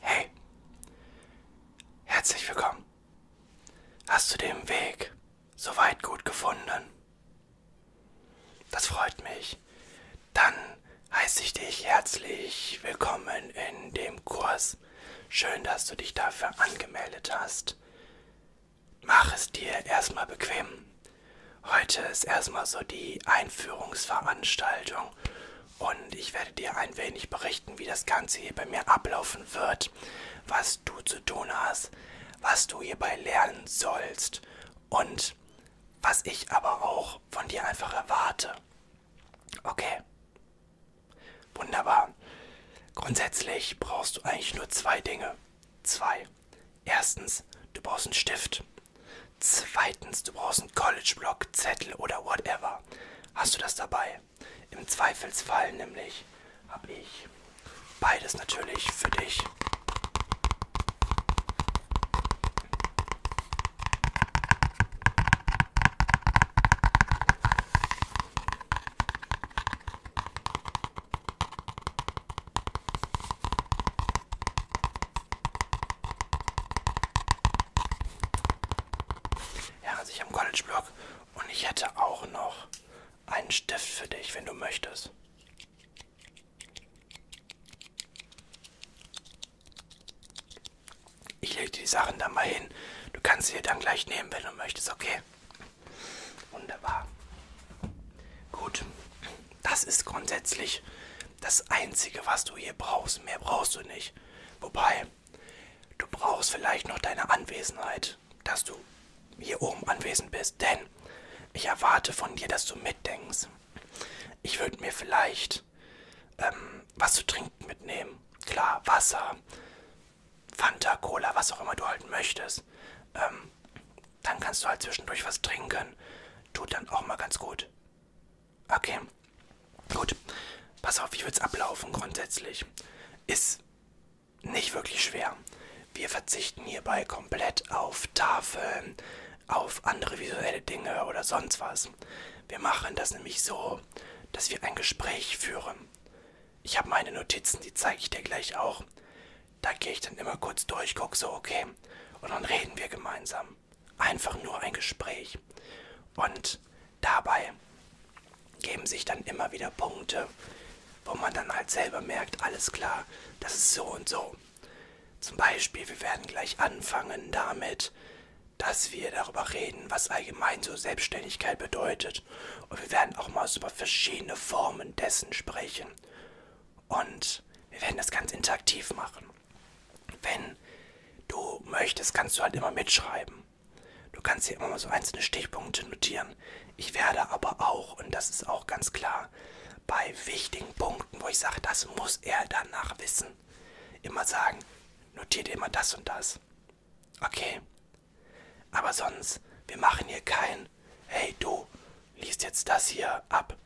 Hey, herzlich willkommen. Hast du den Weg soweit gut gefunden? Das freut mich. Dann heiße ich dich herzlich willkommen in dem Kurs. Schön, dass du dich dafür angemeldet hast. Mach es dir erstmal bequem. Heute ist erstmal so die Einführungsveranstaltung und ich werde dir ein wenig berichten, wie das Ganze hier bei mir ablaufen wird, was du zu tun hast, was du hierbei lernen sollst und was ich aber auch von dir einfach erwarte. Okay. Wunderbar. Grundsätzlich brauchst du eigentlich nur zwei Dinge. Zwei. Erstens, du brauchst einen Stift. Zweitens, du brauchst einen College-Block, Zettel oder whatever super. Hast du das dabei? Im Zweifelsfall nämlich habe ich beides natürlich für dich. Ja, also ich habe einen College-Block und ich hätte auch noch einen Stift für dich, wenn du möchtest. Ich lege die Sachen dann mal hin. Du kannst sie dann gleich nehmen, wenn du möchtest, okay? Wunderbar. Gut. Das ist grundsätzlich das Einzige, was du hier brauchst. Mehr brauchst du nicht. Wobei, Du brauchst vielleicht noch deine Anwesenheit, dass du hier oben anwesend bist, denn ich erwarte von dir, dass du mitdenkst. Ich würde mir vielleicht ähm, was zu trinken mitnehmen. Klar, Wasser, Fanta, Cola, was auch immer du halt möchtest. Ähm, dann kannst du halt zwischendurch was trinken. Tut dann auch mal ganz gut. Okay. Gut. Pass auf, wie wird's ablaufen grundsätzlich? Ist nicht wirklich schwer. Wir verzichten hierbei komplett auf Tafeln, auf andere visuelle Dinge oder sonst was. Wir machen das nämlich so, dass wir ein Gespräch führen. Ich habe meine Notizen, die zeige ich dir gleich auch. Da gehe ich dann immer kurz durch, guck so, okay. Und dann reden wir gemeinsam einfach nur ein Gespräch. Und dabei geben sich dann immer wieder Punkte, wo man dann halt selber merkt, alles klar, das ist so und so. Zum Beispiel, wir werden gleich anfangen damit, dass wir darüber reden, was allgemein so Selbstständigkeit bedeutet. Und wir werden auch mal über verschiedene Formen dessen sprechen. Und wir werden das ganz interaktiv machen wenn du möchtest, kannst du halt immer mitschreiben. Du kannst hier immer mal so einzelne Stichpunkte notieren. Ich werde aber auch, und das ist auch ganz klar, bei wichtigen Punkten, wo ich sage, das muss er danach wissen, immer sagen, notiert immer das und das. Okay. Aber sonst, wir machen hier kein, hey du, liest jetzt das hier ab.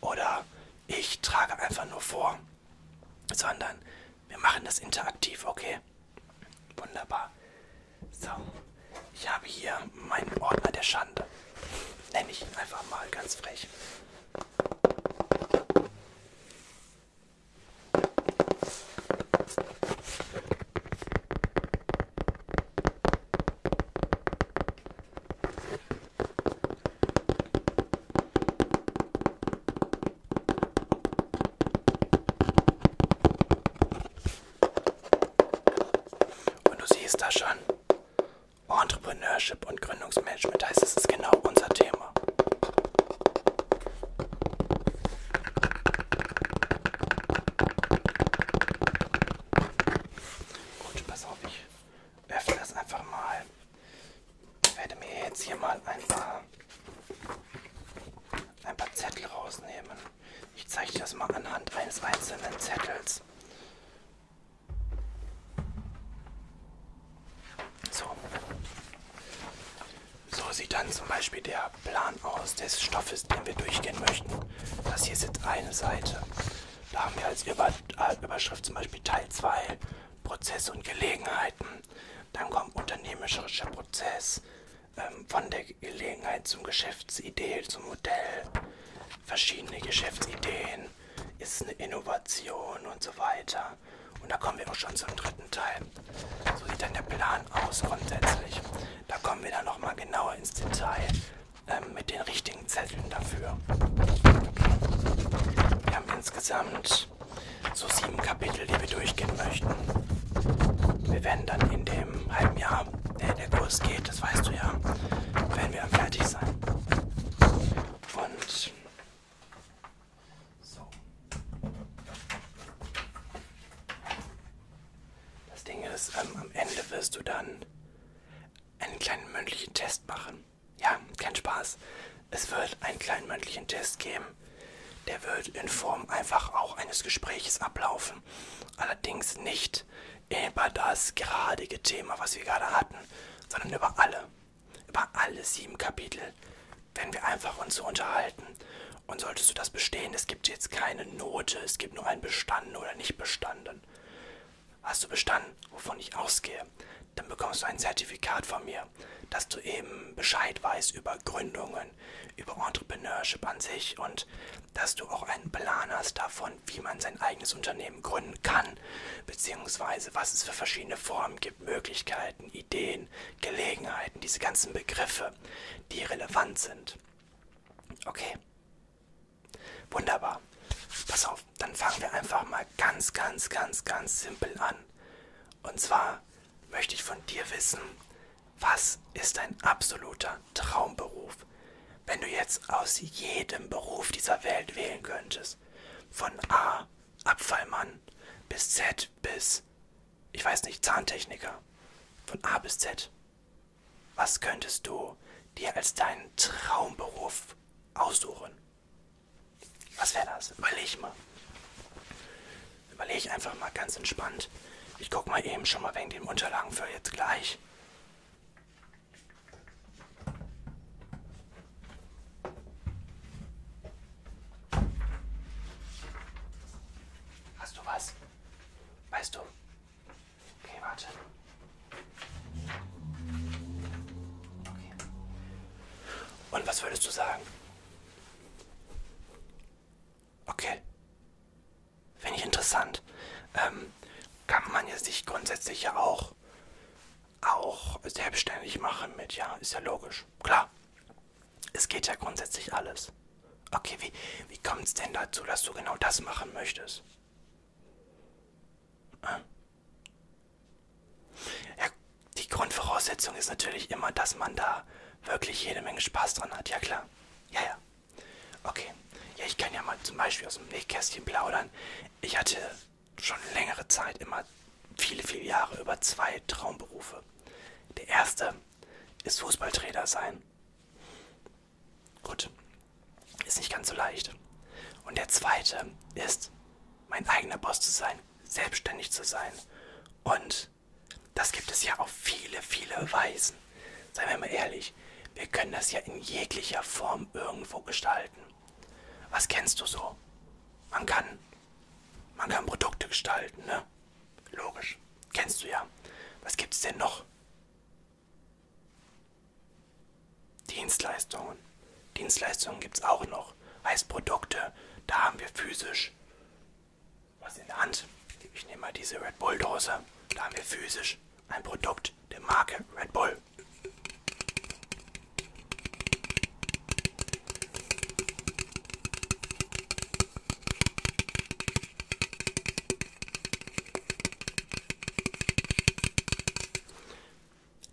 Oder ich trage einfach nur vor sondern wir machen das interaktiv, okay? Wunderbar. So, ich habe hier meinen Ordner der Schande. Nenne ich ihn einfach mal ganz frech. Und du siehst da schon, Entrepreneurship und Gründungsmanagement heißt, es ist genau unser Thema. Gut, pass auf, ich öffne das einfach mal. Ich werde mir jetzt hier mal ein paar, ein paar Zettel rausnehmen. Ich zeige dir das mal anhand eines einzelnen Zettels. So. So sieht dann zum Beispiel der Plan aus des Stoffes, den wir durchgehen möchten. Das hier ist jetzt eine Seite. Da haben wir als Über äh, Überschrift zum Beispiel Teil 2 Prozesse und Gelegenheiten. Dann kommt unternehmerischer Prozess ähm, von der Gelegenheit zum Geschäftsidee, zum Modell, verschiedene Geschäftsideen, ist eine Innovation und so weiter. Und da kommen wir auch schon zum dritten Teil. So sieht dann der Plan aus grundsätzlich. Da kommen wir dann nochmal genauer ins Detail ähm, mit den richtigen Zetteln dafür. Wir haben insgesamt so sieben Kapitel, die wir durchgehen möchten. Wir werden dann in dem halben Jahr, der, der Kurs geht, das weißt du ja, werden wir dann fertig sein. Und so. Das Ding ist, ähm, am Ende wirst du dann einen kleinen mündlichen Test machen. Ja, kein Spaß. Es wird einen kleinen mündlichen Test geben. Der wird in Form einfach auch eines Gespräches ablaufen. Allerdings nicht über das geradige Thema, was wir gerade hatten, sondern über alle. Über alle sieben Kapitel werden wir einfach uns so unterhalten. Und solltest du das bestehen, es gibt jetzt keine Note, es gibt nur ein Bestanden oder nicht Bestanden. Hast du bestanden, wovon ich ausgehe, dann bekommst du ein Zertifikat von mir, dass du eben Bescheid weißt über Gründungen, über Entrepreneurship an sich und dass du auch einen Plan hast davon, wie man sein eigenes Unternehmen gründen kann, beziehungsweise was es für verschiedene Formen gibt, Möglichkeiten, Ideen, Gelegenheiten, diese ganzen Begriffe, die relevant sind. Okay. Wunderbar. Pass auf, dann fangen wir einfach mal ganz, ganz, ganz, ganz simpel an. Und zwar möchte ich von dir wissen, was ist dein absoluter Traumberuf? Wenn du jetzt aus jedem Beruf dieser Welt wählen könntest, von A, Abfallmann, bis Z, bis, ich weiß nicht, Zahntechniker, von A bis Z, was könntest du dir als deinen Traumberuf aussuchen? Was wäre das? Überleg mal. Überleg einfach mal ganz entspannt. Ich guck mal eben schon mal wegen den Unterlagen für jetzt gleich. Hast du was? Weißt du? Okay, warte. Okay. Und was würdest du sagen? Okay. Finde ich interessant. Ähm, kann man ja sich grundsätzlich ja auch, auch selbstständig machen mit, ja, ist ja logisch. Klar. Es geht ja grundsätzlich alles. Okay, wie, wie kommt es denn dazu, dass du genau das machen möchtest? Äh? Ja, die Grundvoraussetzung ist natürlich immer, dass man da wirklich jede Menge Spaß dran hat. Ja, klar. Ja, ja. Okay. Ja, ich kann ja mal zum Beispiel aus dem Nähkästchen plaudern. Ich hatte schon längere Zeit, immer viele, viele Jahre, über zwei Traumberufe. Der erste ist Fußballtrainer sein. Gut. Ist nicht ganz so leicht. Und der zweite ist, mein eigener Boss zu sein, selbstständig zu sein und das gibt es ja auf viele, viele Weisen. Seien wir mal ehrlich, wir können das ja in jeglicher Form irgendwo gestalten. Was kennst du so? Man kann, man kann Produkte gestalten, ne? Logisch, kennst du ja. Was gibt es denn noch? Dienstleistungen. Dienstleistungen gibt es auch noch. Heißt Produkte, da haben wir physisch was in der Hand. Ich nehme mal diese Red Bull Dose. Da haben wir physisch ein Produkt der Marke Red Bull.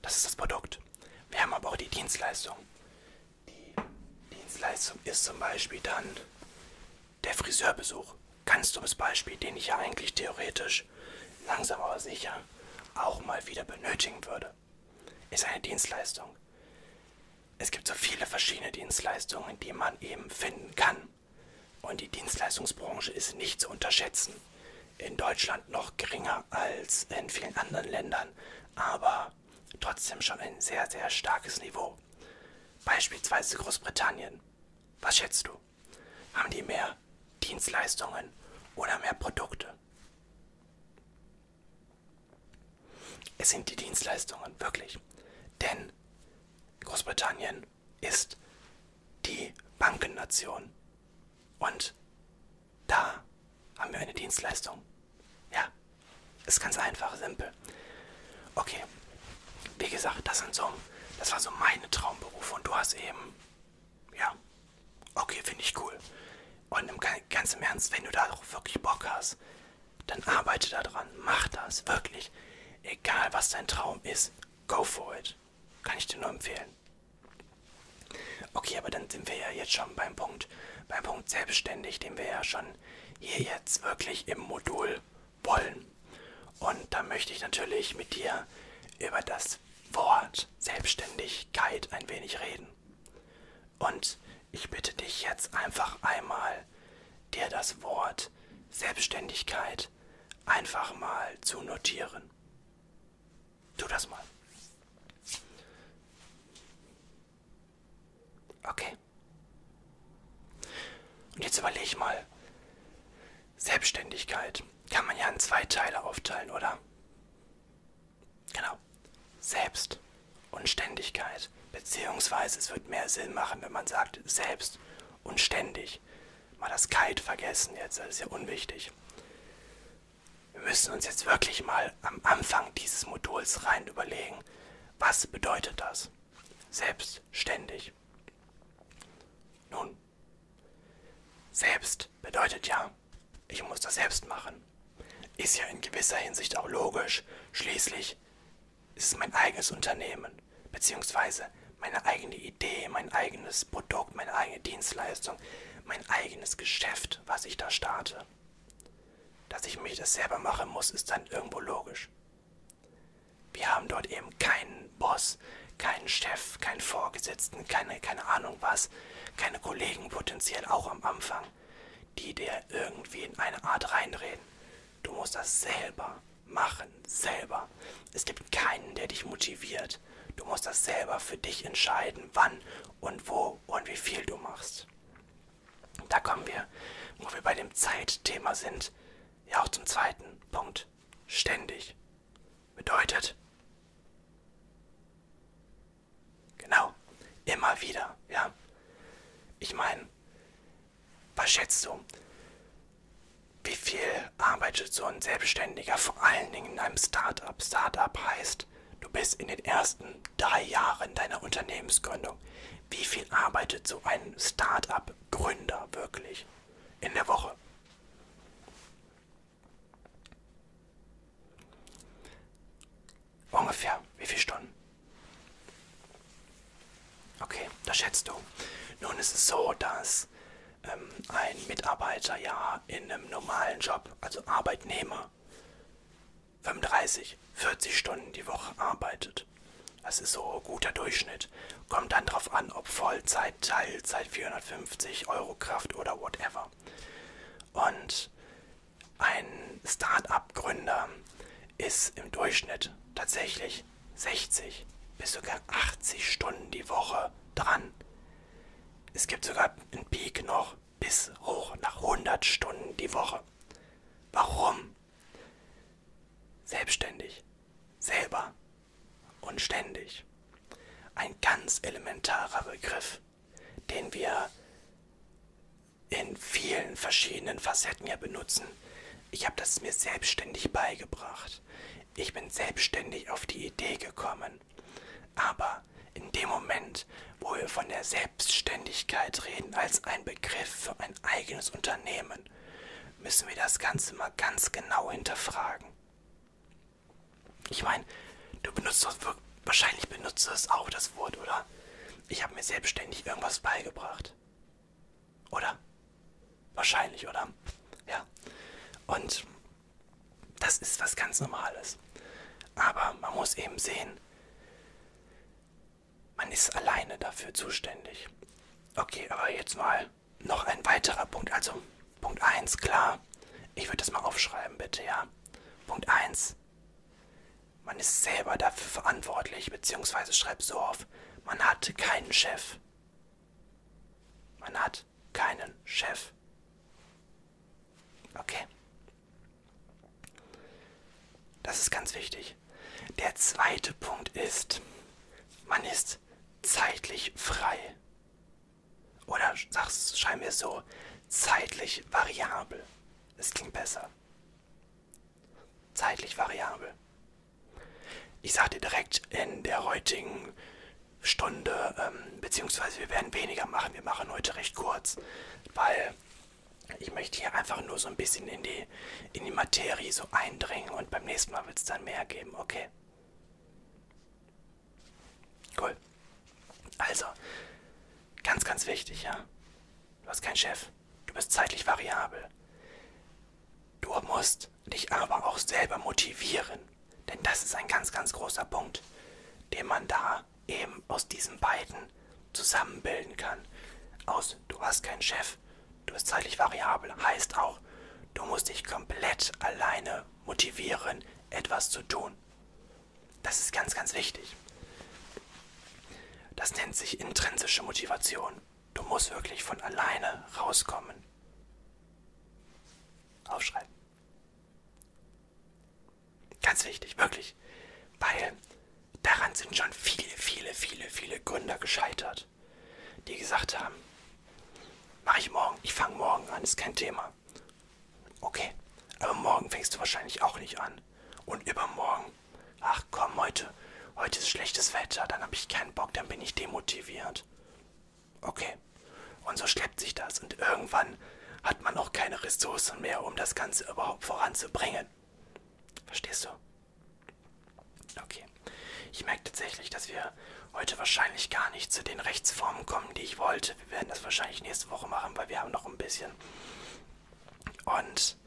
Das ist das Produkt. Wir haben aber auch die Dienstleistung. Die Dienstleistung ist zum Beispiel dann der Friseurbesuch. Ganz dummes Beispiel, den ich ja eigentlich theoretisch langsam aber sicher auch mal wieder benötigen würde. Ist eine Dienstleistung. Es gibt so viele verschiedene Dienstleistungen, die man eben finden kann. Und die Dienstleistungsbranche ist nicht zu unterschätzen. In Deutschland noch geringer als in vielen anderen Ländern. Aber trotzdem schon ein sehr, sehr starkes Niveau. Beispielsweise Großbritannien. Was schätzt du? Haben die mehr Dienstleistungen oder mehr Produkte? Es sind die Dienstleistungen, wirklich. Denn Großbritannien ist die Bankennation. Und da haben wir eine Dienstleistung. Ja, ist ganz einfach, simpel. Okay, wie gesagt, das, sind so, das war so meine Traumberufe und du hast eben, ja, okay, finde ich cool. Und im, ganz im Ernst, wenn du da auch wirklich Bock hast, dann arbeite daran, mach das, wirklich. Egal was dein Traum ist, go for it. Kann ich dir nur empfehlen. Okay, aber dann sind wir ja jetzt schon beim Punkt sind beim Punkt selbstständig, den wir ja schon hier jetzt wirklich im Modul wollen. Und da möchte ich natürlich mit dir über das Wort Selbstständigkeit ein wenig reden. Und ich bitte dich jetzt einfach einmal, dir das Wort Selbstständigkeit einfach mal zu notieren. Tu das mal. Okay. Und jetzt überlege ich mal. Selbstständigkeit kann man ja in zwei Teile aufteilen, oder? Genau. Selbst und Ständigkeit. Beziehungsweise es wird mehr Sinn machen, wenn man sagt selbst und ständig. Mal das Kalt vergessen jetzt, das ist ja unwichtig wir müssen uns jetzt wirklich mal am Anfang dieses Moduls rein überlegen, was bedeutet das? Selbstständig. Nun, selbst bedeutet ja, ich muss das selbst machen. Ist ja in gewisser Hinsicht auch logisch. Schließlich ist es mein eigenes Unternehmen, beziehungsweise meine eigene Idee, mein eigenes Produkt, meine eigene Dienstleistung, mein eigenes Geschäft, was ich da starte. Dass ich mich das selber machen muss, ist dann irgendwo logisch. Wir haben dort eben keinen Boss, keinen Chef, keinen Vorgesetzten, keine, keine Ahnung was, keine Kollegen potenziell auch am Anfang, die dir irgendwie in eine Art reinreden. Du musst das selber machen, selber. Es gibt keinen, der dich motiviert. Du musst das selber für dich entscheiden, wann und wo und wie viel du machst. Da kommen wir, wo wir bei dem Zeitthema sind, ja auch zum zweiten Punkt. Ständig. Bedeutet, genau, immer wieder, ja. Ich meine, was schätzt du? Wie viel arbeitet so ein Selbstständiger, vor allen Dingen in einem Startup? Startup heißt, du bist in den ersten drei Jahren deiner Unternehmensgründung, wie viel arbeitet so ein Start-up-Gründer wirklich in der Woche? Ungefähr wie viele Stunden? Okay, das schätzt du. Nun ist es so, dass ähm, ein Mitarbeiter ja in einem normalen Job, also Arbeitnehmer, 35, 40 Stunden die Woche arbeitet. Das ist so guter Durchschnitt. Kommt dann drauf an, ob Vollzeit, Teilzeit, 450 Euro Kraft oder whatever. Und ein Start-up-Gründer ist im Durchschnitt tatsächlich 60 bis sogar 80 Stunden die Woche dran. Es gibt sogar einen Peak noch bis hoch nach 100 Stunden die Woche. Warum? Selbstständig, selber und ständig. Ein ganz elementarer Begriff, den wir in vielen verschiedenen Facetten ja benutzen. Ich habe das mir selbstständig beigebracht. Ich bin selbstständig auf die Idee gekommen. Aber in dem Moment, wo wir von der Selbstständigkeit reden als ein Begriff für ein eigenes Unternehmen, müssen wir das Ganze mal ganz genau hinterfragen. Ich meine, du benutzt doch wahrscheinlich benutzt du es auch das Wort, oder? Ich habe mir selbstständig irgendwas beigebracht, oder? Wahrscheinlich, oder? Ja. Und das ist was ganz Normales. Aber man muss eben sehen, man ist alleine dafür zuständig. Okay, aber jetzt mal noch ein weiterer Punkt. Also Punkt 1, klar. Ich würde das mal aufschreiben, bitte, ja. Punkt 1. Man ist selber dafür verantwortlich, beziehungsweise schreibt so auf, man hat keinen Chef. Man hat keinen Chef. Okay. Das ist ganz wichtig. Der zweite Punkt ist, man ist zeitlich frei. Oder sag's, schreib mir so, zeitlich variabel. Es klingt besser. Zeitlich variabel. Ich sag dir direkt in der heutigen Stunde, ähm, beziehungsweise wir werden weniger machen. Wir machen heute recht kurz, weil ich möchte hier einfach nur so ein bisschen in die, in die Materie so eindringen und beim nächsten Mal wird es dann mehr geben, okay? Cool. Also, ganz, ganz wichtig, ja. Du hast keinen Chef. Du bist zeitlich variabel. Du musst dich aber auch selber motivieren. Denn das ist ein ganz, ganz großer Punkt, den man da eben aus diesen beiden zusammenbilden kann. Aus du hast keinen Chef, du bist zeitlich variabel, heißt auch, du musst dich komplett alleine motivieren, etwas zu tun. Das ist ganz, ganz wichtig. Das nennt sich intrinsische Motivation. Du musst wirklich von alleine rauskommen. Aufschreiben. Ganz wichtig, wirklich. Weil daran sind schon viele, viele, viele, viele Gründer gescheitert, die gesagt haben, mache ich morgen, ich fange morgen an, ist kein Thema. Okay, aber morgen fängst du wahrscheinlich auch nicht an. Und übermorgen, ach komm, heute, heute ist schlechtes Wetter, dann habe ich keinen Bock, dann bin ich demotiviert. Okay, und so schleppt sich das und irgendwann hat man auch keine Ressourcen mehr, um das Ganze überhaupt voranzubringen. Verstehst du? Okay. Ich merke tatsächlich, dass wir heute wahrscheinlich gar nicht zu den Rechtsformen kommen, die ich wollte. Wir werden das wahrscheinlich nächste Woche machen, weil wir haben noch ein bisschen. Und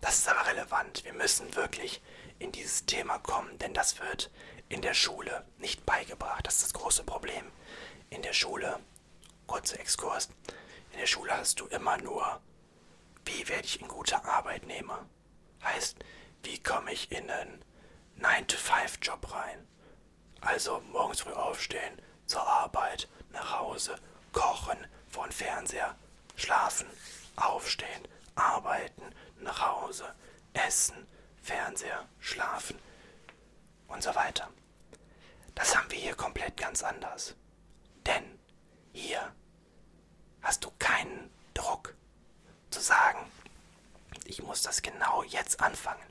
das ist aber relevant. Wir müssen wirklich in dieses Thema kommen, denn das wird in der Schule nicht beigebracht. Das ist das große Problem. In der Schule Kurzer Exkurs. In der Schule hast du immer nur, wie werde ich ein guter Arbeitnehmer? Heißt, wie komme ich in einen 9-to-5-Job rein? Also morgens früh aufstehen, zur Arbeit, nach Hause, kochen, vor den Fernseher, schlafen, aufstehen, arbeiten, nach Hause, essen, Fernseher, schlafen und so weiter. Das haben wir hier komplett ganz anders. Denn hier hast du keinen Druck zu sagen, ich muss das genau jetzt anfangen.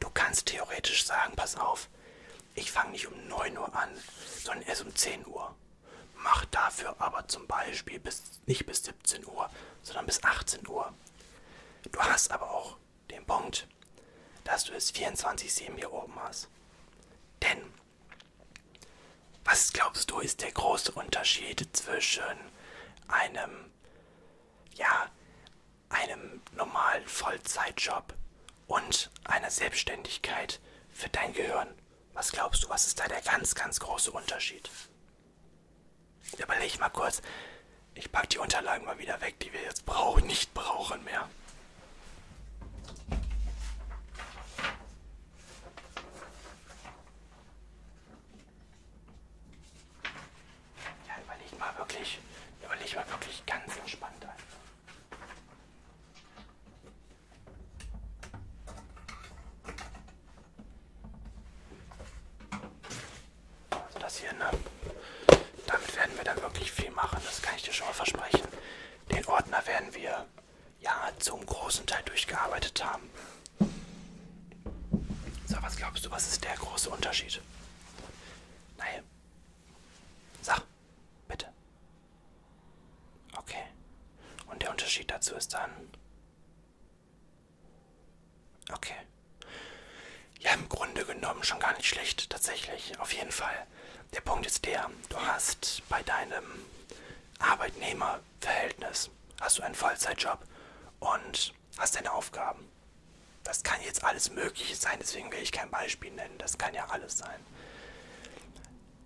Du kannst theoretisch sagen, pass auf, ich fange nicht um 9 Uhr an, sondern erst um 10 Uhr. Mach dafür aber zum Beispiel bis, nicht bis 17 Uhr, sondern bis 18 Uhr. Du hast aber auch den Punkt, dass du es 24-7 hier oben hast. Denn was glaubst du, ist der große Unterschied zwischen einem, ja, einem normalen Vollzeitjob und einer Selbstständigkeit für dein Gehirn? Was glaubst du, was ist da der ganz, ganz große Unterschied? Überleg mal kurz. Ich packe die Unterlagen mal wieder weg, die wir jetzt brauchen, nicht brauchen mehr. Ja, überleg mal wirklich, überleg mal wirklich ganz entspannt einfach. Also das hier, ne? Damit werden wir dann wirklich viel machen, das kann ich dir schon mal versprechen. Den Ordner werden wir ja zum großen Teil durchgearbeitet haben. So, was glaubst du, was ist der große Unterschied? Nein. Sag, bitte. Okay. Und der Unterschied dazu ist dann. Okay. Ja, im Grunde genommen schon gar nicht schlecht, tatsächlich. Auf jeden Fall. Der Punkt ist der, du hast bei deinem Arbeitnehmerverhältnis, hast du einen Vollzeitjob und hast deine Aufgaben. Das kann jetzt alles Mögliche sein, deswegen will ich kein Beispiel nennen. Das kann ja alles sein.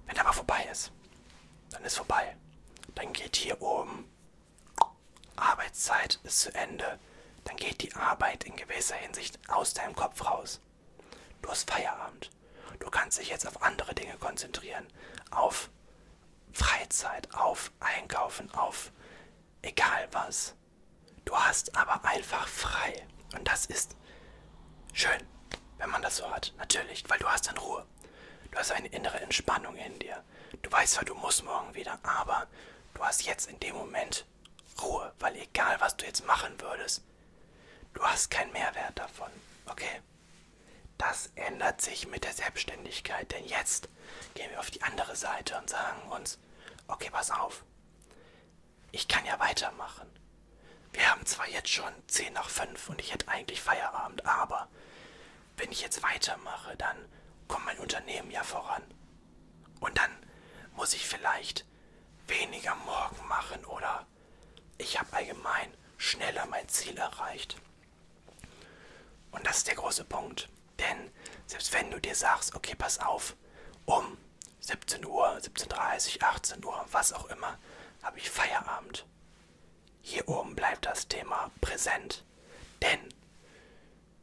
Wenn aber vorbei ist, dann ist vorbei. Dann geht hier oben Arbeitszeit ist zu Ende. Dann geht die Arbeit in gewisser Hinsicht aus deinem Kopf raus. Du hast Feierabend. Zeit. Du kannst dich jetzt auf andere Dinge konzentrieren. Auf Freizeit, auf Einkaufen, auf egal was. Du hast aber einfach frei. Und das ist schön, wenn man das so hat. Natürlich, weil du hast dann Ruhe. Du hast eine innere Entspannung in dir. Du weißt zwar, du musst morgen wieder, aber du hast jetzt in dem Moment Ruhe, weil egal was du jetzt machen würdest, Du hast keinen Mehrwert davon, okay? Das ändert sich mit der Selbstständigkeit, denn jetzt gehen wir auf die andere Seite und sagen uns, okay, pass auf, ich kann ja weitermachen. Wir haben zwar jetzt schon 10 nach 5 und ich hätte eigentlich Feierabend, aber wenn ich jetzt weitermache, dann kommt mein Unternehmen ja voran. Und dann muss ich vielleicht weniger morgen machen oder ich habe allgemein schneller mein Ziel erreicht. Und das ist der große Punkt. Denn selbst wenn du dir sagst, okay, pass auf, um 17 Uhr, 17.30 Uhr, 18 Uhr, was auch immer, habe ich Feierabend. Hier oben bleibt das Thema präsent. Denn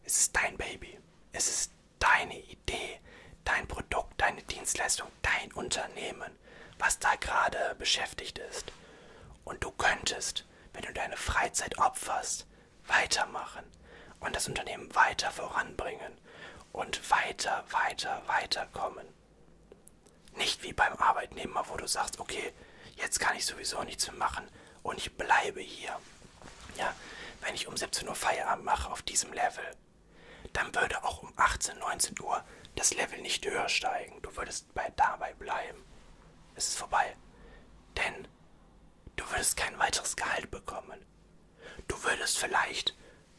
es ist dein Baby. Es ist deine Idee, dein Produkt, deine Dienstleistung, dein Unternehmen, was da gerade beschäftigt ist. Und du könntest, wenn du deine Freizeit opferst, weitermachen und das Unternehmen weiter voranbringen und weiter, weiter, weiterkommen. Nicht wie beim Arbeitnehmer, wo du sagst, okay, jetzt kann ich sowieso nichts mehr machen und ich bleibe hier. Ja, wenn ich um 17 Uhr Feierabend mache auf diesem Level, dann würde auch um 18, 19 Uhr das Level nicht höher steigen. Du würdest bei, dabei bleiben. Es ist vorbei. Denn du würdest kein weiteres Gehalt bekommen. Du würdest vielleicht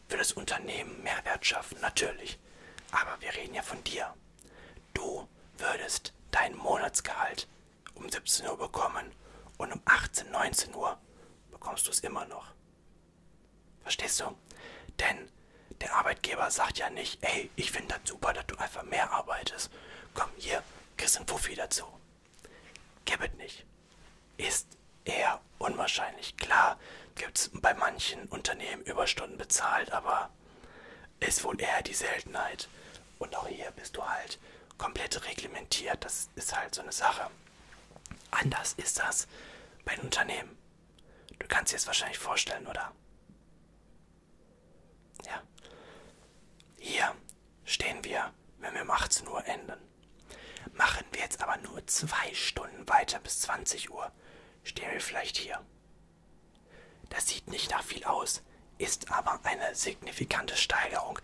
für das Unternehmen Mehrwert schaffen, natürlich. Aber wir reden ja von dir. Du würdest dein Monatsgehalt um 17 Uhr bekommen und um 18, 19 Uhr bekommst du es immer noch. Verstehst du? Denn der Arbeitgeber sagt ja nicht, ey, ich finde das super, dass du einfach mehr arbeitest. Komm hier, kriegst einen Puffi dazu. Gibt nicht. Ist eher unwahrscheinlich. Klar gibt es bei manchen Unternehmen Überstunden bezahlt, aber ist wohl eher die Seltenheit. Und auch hier bist du halt komplett reglementiert. Das ist halt so eine Sache. Anders ist das bei den Unternehmen. Du kannst dir es wahrscheinlich vorstellen, oder? Ja. Hier stehen wir, wenn wir um 18 Uhr enden. Machen wir jetzt aber nur zwei Stunden weiter bis 20 Uhr, stehen wir vielleicht hier. Das sieht nicht nach viel aus, ist aber eine signifikante Steigerung,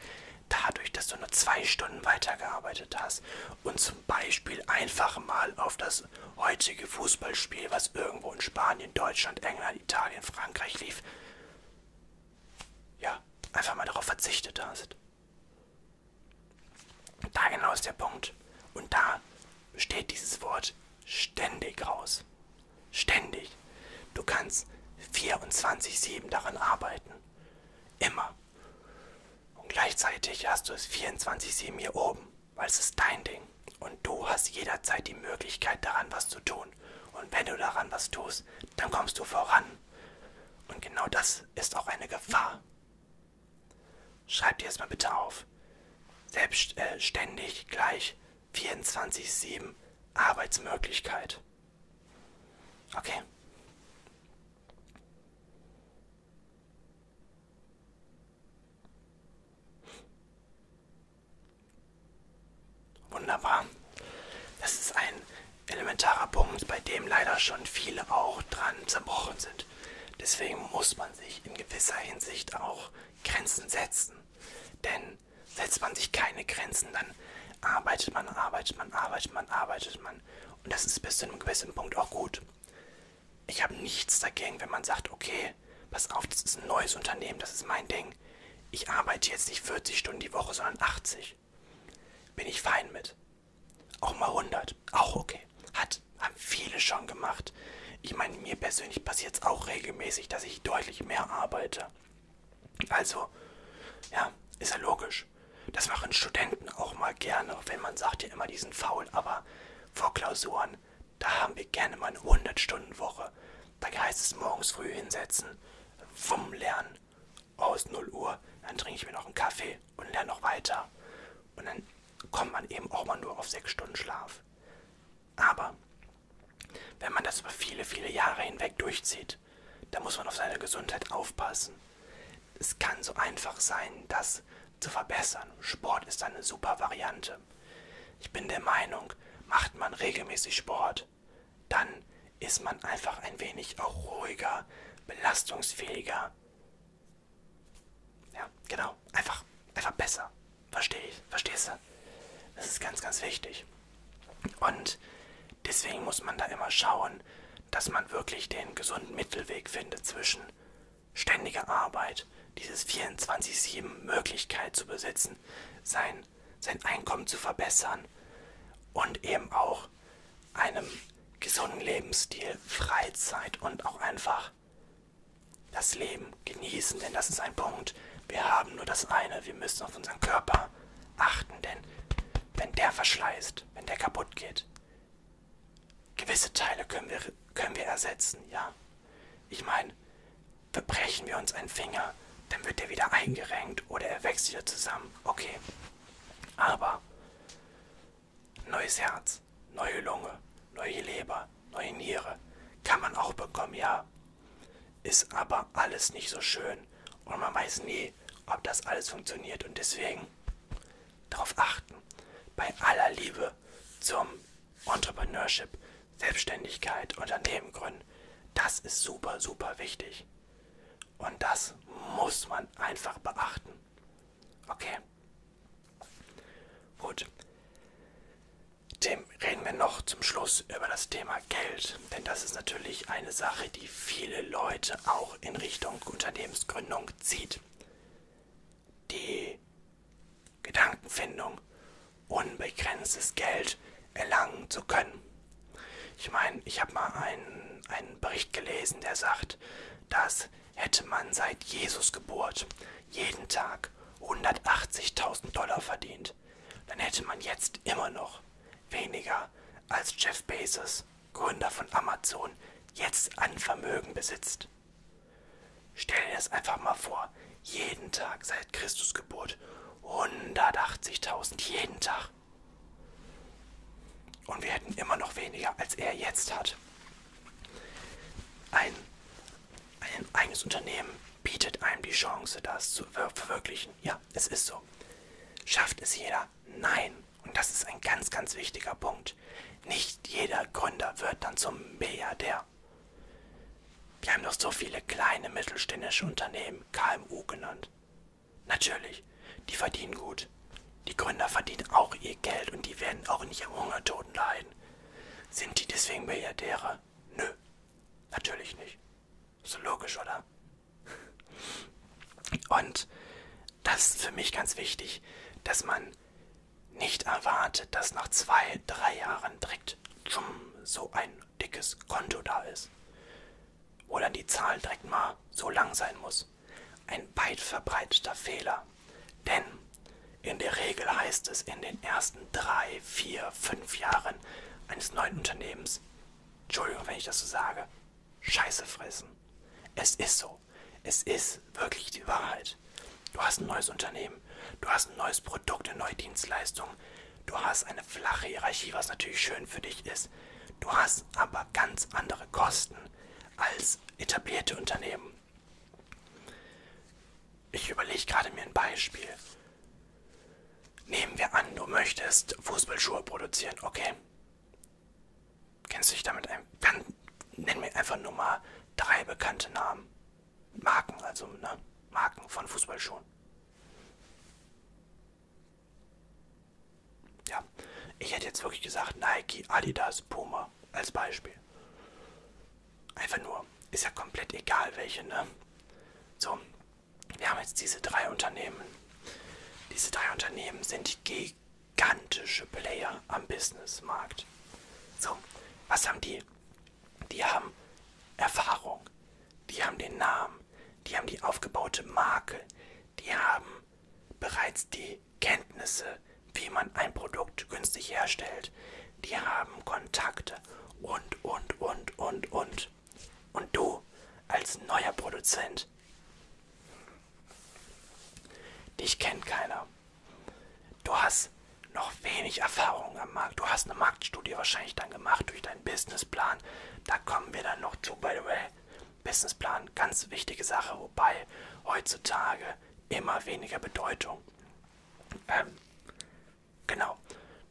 dadurch, dass du nur zwei Stunden weitergearbeitet hast und zum Beispiel einfach mal auf das heutige Fußballspiel, was irgendwo in Spanien, Deutschland, England, Italien, Frankreich lief, ja, einfach mal darauf verzichtet hast. Da genau ist der Punkt. Und da besteht dieses Wort ständig raus. Ständig. Du kannst 24-7 daran arbeiten. Immer. Und gleichzeitig hast du es 24-7 hier oben, weil es ist dein Ding. Und du hast jederzeit die Möglichkeit daran, was zu tun. Und wenn du daran was tust, dann kommst du voran. Und genau das ist auch eine Gefahr. Schreib dir das mal bitte auf. Selbstständig äh, gleich 24-7 Arbeitsmöglichkeit. Okay. Wunderbar. Das ist ein elementarer Punkt, bei dem leider schon viele auch dran zerbrochen sind. Deswegen muss man sich in gewisser Hinsicht auch Grenzen setzen. Denn setzt man sich keine Grenzen, dann arbeitet man, arbeitet man, arbeitet man, arbeitet man. Und das ist bis zu einem gewissen Punkt auch gut ich habe nichts dagegen, wenn man sagt, okay, pass auf, das ist ein neues Unternehmen, das ist mein Ding. Ich arbeite jetzt nicht 40 Stunden die Woche, sondern 80. Bin ich fein mit. Auch mal 100, auch okay. Hat, haben viele schon gemacht. Ich meine, mir persönlich passiert es auch regelmäßig, dass ich deutlich mehr arbeite. Also, ja, ist ja logisch. Das machen Studenten auch mal gerne, wenn man sagt ja immer, die sind faul, aber vor Klausuren, da haben wir gerne mal eine 100-Stunden-Woche. Da heißt es morgens früh hinsetzen, wumm lernen, aus 0 Uhr, dann trinke ich mir noch einen Kaffee und lerne noch weiter. Und dann kommt man eben auch mal nur auf 6 Stunden Schlaf. Aber wenn man das über viele, viele Jahre hinweg durchzieht, da muss man auf seine Gesundheit aufpassen. Es kann so einfach sein, das zu verbessern. Sport ist eine super Variante. Ich bin der Meinung, macht man regelmäßig Sport, dann ist man einfach ein wenig auch ruhiger, belastungsfähiger. Ja, genau. Einfach, einfach besser. Verstehe ich. Verstehst du? Das ist ganz, ganz wichtig. Und deswegen muss man da immer schauen, dass man wirklich den gesunden Mittelweg findet zwischen ständige Arbeit, dieses 24-7 Möglichkeit zu besitzen, sein, sein Einkommen zu verbessern und eben auch einem gesunden Lebensstil, Freizeit und auch einfach das Leben genießen, denn das ist ein Punkt. Wir haben nur das eine, wir müssen auf unseren Körper achten, denn wenn der verschleißt, wenn der kaputt geht, Gewisse Teile können wir, können wir ersetzen, ja. Ich meine, verbrechen wir uns einen Finger, dann wird er wieder eingerenkt oder er wächst wieder zusammen. Okay. Aber neues Herz, neue Lunge, neue Leber, neue Niere kann man auch bekommen, ja. Ist aber alles nicht so schön und man weiß nie, ob das alles funktioniert und deswegen darauf achten, bei aller Liebe zum Entrepreneurship, Selbstständigkeit, Unternehmen gründen, das ist super, super wichtig. Und das muss man einfach beachten. Okay. Gut. Dem reden wir noch zum Schluss über das Thema Geld. Denn das ist natürlich eine Sache, die viele Leute auch in Richtung Unternehmensgründung zieht die Gedankenfindung, unbegrenztes Geld erlangen zu können. Ich meine, ich habe mal einen, einen Bericht gelesen, der sagt, dass hätte man seit Jesus Geburt jeden Tag 180.000 Dollar verdient, dann hätte man jetzt immer noch weniger als Jeff Bezos, Gründer von Amazon, jetzt an Vermögen besitzt. Stell dir das einfach mal vor. Jeden Tag seit Christus Geburt. 180.000 jeden Tag. Und wir hätten immer noch weniger, als er jetzt hat. Ein, ein eigenes Unternehmen bietet einem die Chance, das zu verwirklichen. Ja, es ist so. Schafft es jeder? Nein und das ist ein ganz, ganz wichtiger Punkt, nicht jeder Gründer wird dann zum Milliardär. Wir haben doch so viele kleine mittelständische Unternehmen, KMU genannt. Natürlich, die verdienen gut. Die Gründer verdienen auch ihr Geld und die werden auch nicht am Hungertoten leiden. Sind die deswegen Milliardäre? Nö, natürlich nicht. So logisch, oder? Und das ist für mich ganz wichtig, dass man nicht erwartet, dass nach zwei, drei Jahren direkt tschum, so ein dickes Konto da ist. Wo dann die Zahl direkt mal so lang sein muss. Ein weit verbreiteter Fehler. Denn in der Regel heißt es in den ersten drei, vier, fünf Jahren eines neuen Unternehmens, Entschuldigung, wenn ich das so sage, Scheiße fressen. Es ist so. Wow, es ist wirklich die Wahrheit. Du hast ein neues Unternehmen, du hast ein neues Produkt, eine neue Dienstleistung, du hast eine flache Hierarchie, was natürlich schön für dich ist. Du hast aber ganz andere Kosten als etablierte Unternehmen. Ich überlege gerade mir ein Beispiel. Nehmen wir an, du möchtest Fußballschuhe produzieren, okay? Kennst du dich damit ein? Kann, nenn mir einfach nur mal drei bekannte Namen. Marken, also ne? Marken von Fußballschuhen. Ja, ich hätte jetzt wirklich gesagt Nike, Adidas, Puma als Beispiel. Einfach nur, ist ja komplett egal welche, ne? So, wir haben jetzt diese drei Unternehmen. Diese drei Unternehmen sind die gigantische Player am Businessmarkt. So, was haben die? Die haben Erfahrung, die haben den Namen, die haben die aufgebaute Marke, die haben bereits die Kenntnisse, wie man ein Produkt günstig herstellt, die haben Kontakte und, und, und, und, und. Und du als neuer Produzent, dich kennt keiner. Du hast noch wenig Erfahrung am Markt. Du hast eine Marktstudie wahrscheinlich dann gemacht durch deinen Businessplan. Da kommen wir dann noch zu, by the way. Businessplan, ganz wichtige Sache, wobei heutzutage immer weniger Bedeutung. Ähm, genau.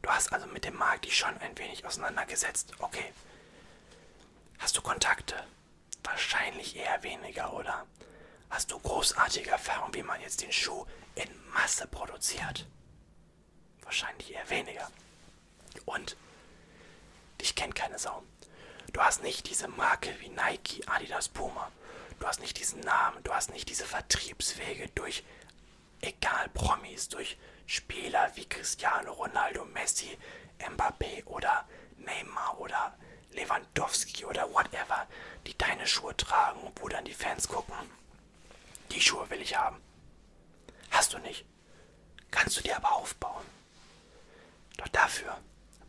Du hast also mit dem Markt dich schon ein wenig auseinandergesetzt. Okay. Hast du Kontakte? Wahrscheinlich eher weniger, oder? Hast du großartige Erfahrung, wie man jetzt den Schuh in Masse produziert? Wahrscheinlich eher weniger. Und dich kennt keine Sau. Du hast nicht diese Marke wie Nike, Adidas, Puma. Du hast nicht diesen Namen, du hast nicht diese Vertriebswege durch egal Promis, durch Spieler wie Cristiano Ronaldo, Messi, Mbappé oder Neymar oder Lewandowski oder whatever, die deine Schuhe tragen, wo dann die Fans gucken. Die Schuhe will ich haben. Hast du nicht. Kannst du dir aber aufbauen. Doch dafür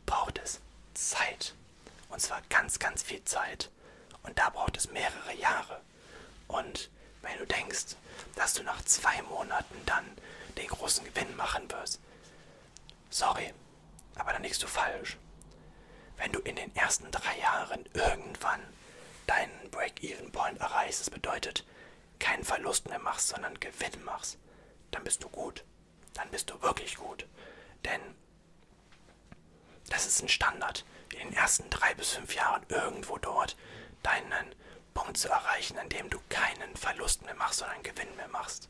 braucht es Zeit. Und zwar ganz, ganz viel Zeit. Und da braucht es mehrere Jahre. Und wenn du denkst, dass du nach zwei Monaten dann den großen Gewinn machen wirst, Sorry, aber dann liegst du falsch. Wenn du in den ersten drei Jahren irgendwann deinen Break-Even-Point erreichst, das bedeutet, keinen Verlust mehr machst, sondern Gewinn machst, dann bist du gut. Dann bist du wirklich gut. Denn das ist ein Standard, in den ersten drei bis fünf Jahren irgendwo dort deinen Punkt zu erreichen, an dem du keinen Verlust mehr machst, sondern Gewinn mehr machst.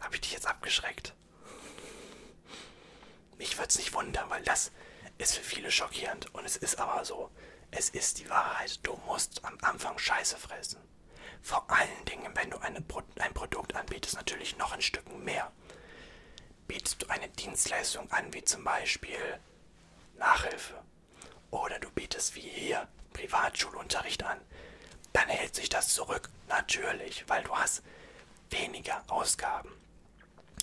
Habe ich dich jetzt abgeschreckt? Mich würde es nicht wundern, weil das ist für viele schockierend. Und es ist aber so. Es ist die Wahrheit. Du musst am Anfang Scheiße fressen. Vor allen Dingen, wenn du eine, ein Produkt anbietest, natürlich noch ein Stücken mehr. Bietest du eine Dienstleistung an, wie zum Beispiel Nachhilfe. Oder du bietest wie hier Privatschulunterricht an, dann hält sich das zurück, natürlich, weil du hast weniger Ausgaben.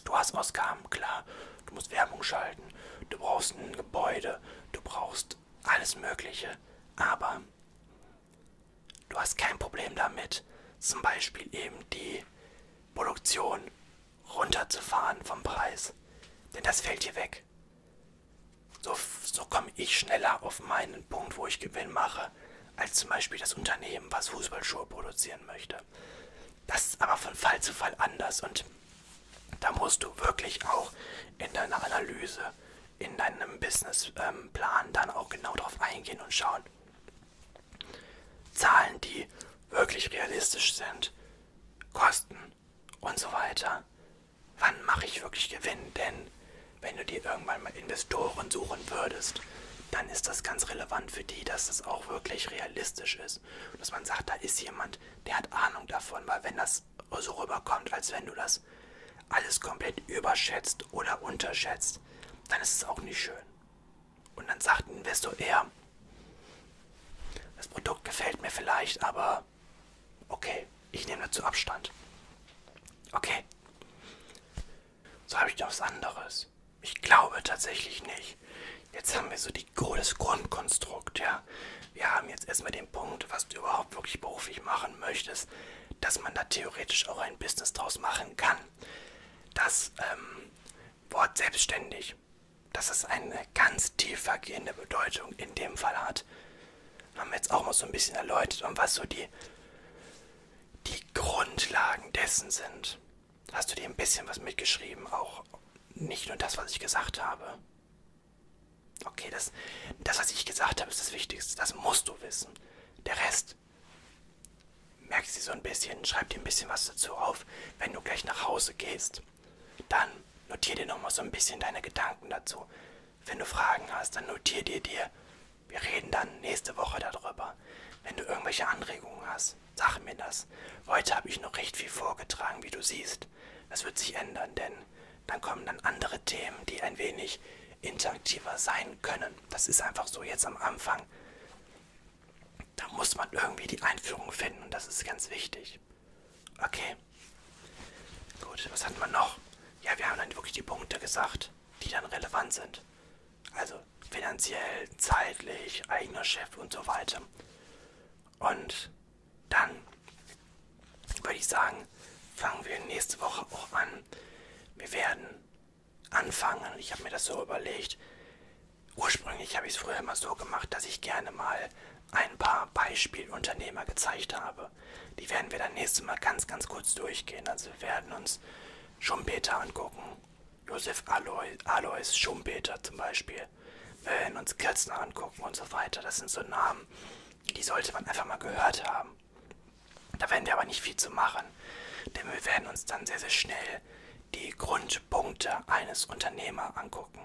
Du hast Ausgaben, klar, du musst Werbung schalten, du brauchst ein Gebäude, du brauchst alles Mögliche, aber du hast kein Problem damit, zum Beispiel eben die Produktion runterzufahren vom Preis. Denn das fällt hier weg. So, so komme ich schneller auf meinen Punkt, wo ich Gewinn mache, als zum Beispiel das Unternehmen, was Fußballschuhe produzieren möchte. Das ist aber von Fall zu Fall anders und da musst du wirklich auch in deiner Analyse, in deinem Businessplan ähm, dann auch genau drauf eingehen und schauen. Zahlen, die wirklich realistisch sind, Kosten und so weiter wann mache ich wirklich Gewinn? Denn wenn du dir irgendwann mal Investoren suchen würdest, dann ist das ganz relevant für die, dass das auch wirklich realistisch ist. Dass man sagt, da ist jemand, der hat Ahnung davon, weil wenn das so rüberkommt, als wenn du das alles komplett überschätzt oder unterschätzt, dann ist es auch nicht schön. Und dann sagt ein Investor eher, das Produkt gefällt mir vielleicht, aber Okay, ich nehme dazu Abstand. Okay. So habe ich noch was anderes. Ich glaube tatsächlich nicht. Jetzt haben wir so die, das Grundkonstrukt, ja. Wir haben jetzt erstmal den Punkt, was du überhaupt wirklich beruflich machen möchtest, dass man da theoretisch auch ein Business draus machen kann. Das ähm, Wort selbstständig, dass es eine ganz tiefergehende Bedeutung in dem Fall hat haben wir jetzt auch mal so ein bisschen erläutert und was so die, die Grundlagen dessen sind. Hast du dir ein bisschen was mitgeschrieben? Auch nicht nur das, was ich gesagt habe. Okay, das, das was ich gesagt habe, ist das Wichtigste. Das musst du wissen. Der Rest, merkst du so ein bisschen, schreib dir ein bisschen was dazu auf, wenn du gleich nach Hause gehst. Dann notier dir nochmal so ein bisschen deine Gedanken dazu. Wenn du Fragen hast, dann notier dir dir. Wir reden dann nächste Woche darüber. Wenn du irgendwelche Anregungen hast, sag mir das. Heute habe ich noch recht viel vorgetragen, wie du siehst. Das wird sich ändern, denn dann kommen dann andere Themen, die ein wenig interaktiver sein können. Das ist einfach so jetzt am Anfang. Da muss man irgendwie die Einführung finden und das ist ganz wichtig. Okay. Gut, was hat man noch? Ja, wir haben dann wirklich die Punkte gesagt, die dann relevant sind. Also finanziell, zeitlich, eigener Chef und so weiter. Und dann würde ich sagen, fangen wir nächste Woche auch an. Wir werden anfangen. Ich habe mir das so überlegt. Ursprünglich habe ich es früher immer so gemacht, dass ich gerne mal ein paar Beispielunternehmer gezeigt habe. Die werden wir dann nächstes Mal ganz, ganz kurz durchgehen. Also wir werden uns Schumpeter angucken. Josef Alois, Alois Schumpeter zum Beispiel. Wir werden uns Kirzner angucken und so weiter. Das sind so Namen, die sollte man einfach mal gehört haben. Da werden wir aber nicht viel zu machen. Denn wir werden uns dann sehr, sehr schnell die Grundpunkte eines Unternehmers angucken.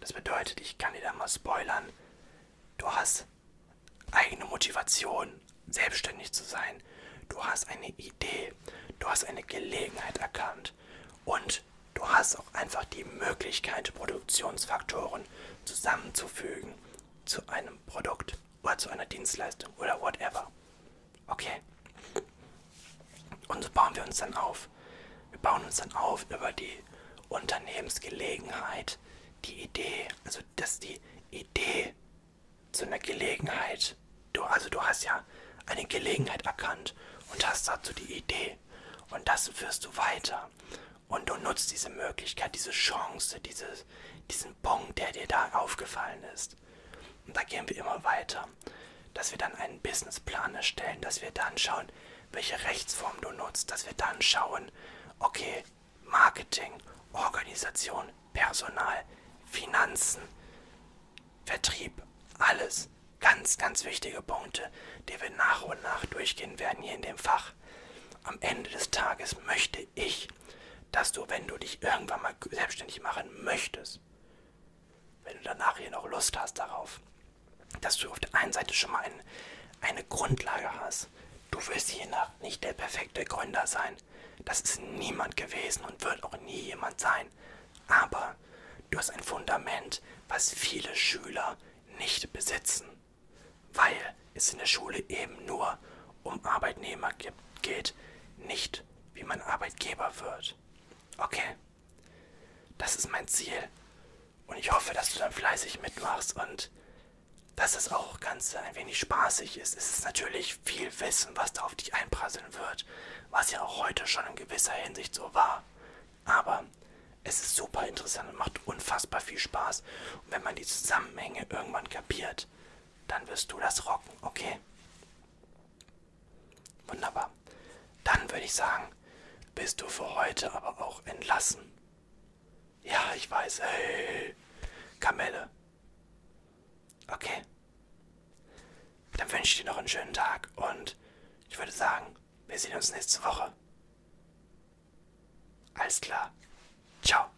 Das bedeutet, ich kann dir da mal spoilern, du hast eigene Motivation, selbstständig zu sein. Du hast eine Idee, du hast eine Gelegenheit erkannt und du hast auch einfach die Möglichkeit, Produktionsfaktoren zusammenzufügen zu einem Produkt oder zu einer Dienstleistung oder whatever. Okay? Und so bauen wir uns dann auf. Wir bauen uns dann auf über die Unternehmensgelegenheit, die Idee, also dass die Idee zu einer Gelegenheit, du, also du hast ja eine Gelegenheit erkannt und hast dazu die Idee und das führst du weiter und du nutzt diese Möglichkeit, diese Chance, dieses, diesen Punkt, der dir da aufgefallen ist. Und da gehen wir immer weiter, dass wir dann einen Businessplan erstellen, dass wir dann schauen, welche Rechtsform du nutzt, dass wir dann schauen, okay, Marketing, Organisation, Personal, Finanzen, Vertrieb, alles. Ganz, ganz wichtige Punkte, die wir nach und nach durchgehen werden hier in dem Fach. Am Ende des Tages möchte ich, dass du, wenn du dich irgendwann mal selbstständig machen möchtest, wenn du danach hier noch Lust hast darauf, dass du auf der einen Seite schon mal ein, eine Grundlage hast, Du wirst je nach nicht der perfekte Gründer sein. Das ist niemand gewesen und wird auch nie jemand sein. Aber du hast ein Fundament, was viele Schüler nicht besitzen. Weil es in der Schule eben nur um Arbeitnehmer geht, nicht wie man Arbeitgeber wird. Okay, das ist mein Ziel. Und ich hoffe, dass du dann fleißig mitmachst und dass es auch ganz ein wenig spaßig ist. Es ist natürlich viel Wissen, was da auf dich einprasseln wird, was ja auch heute schon in gewisser Hinsicht so war. Aber es ist super interessant und macht unfassbar viel Spaß. Und wenn man die Zusammenhänge irgendwann kapiert, dann wirst du das rocken, okay? Wunderbar. Dann würde ich sagen, bist du für heute aber auch entlassen. Ja, ich weiß. Hey. Kamelle. Okay. Dann wünsche ich dir noch einen schönen Tag und ich würde sagen, wir sehen uns nächste Woche. Alles klar. Ciao.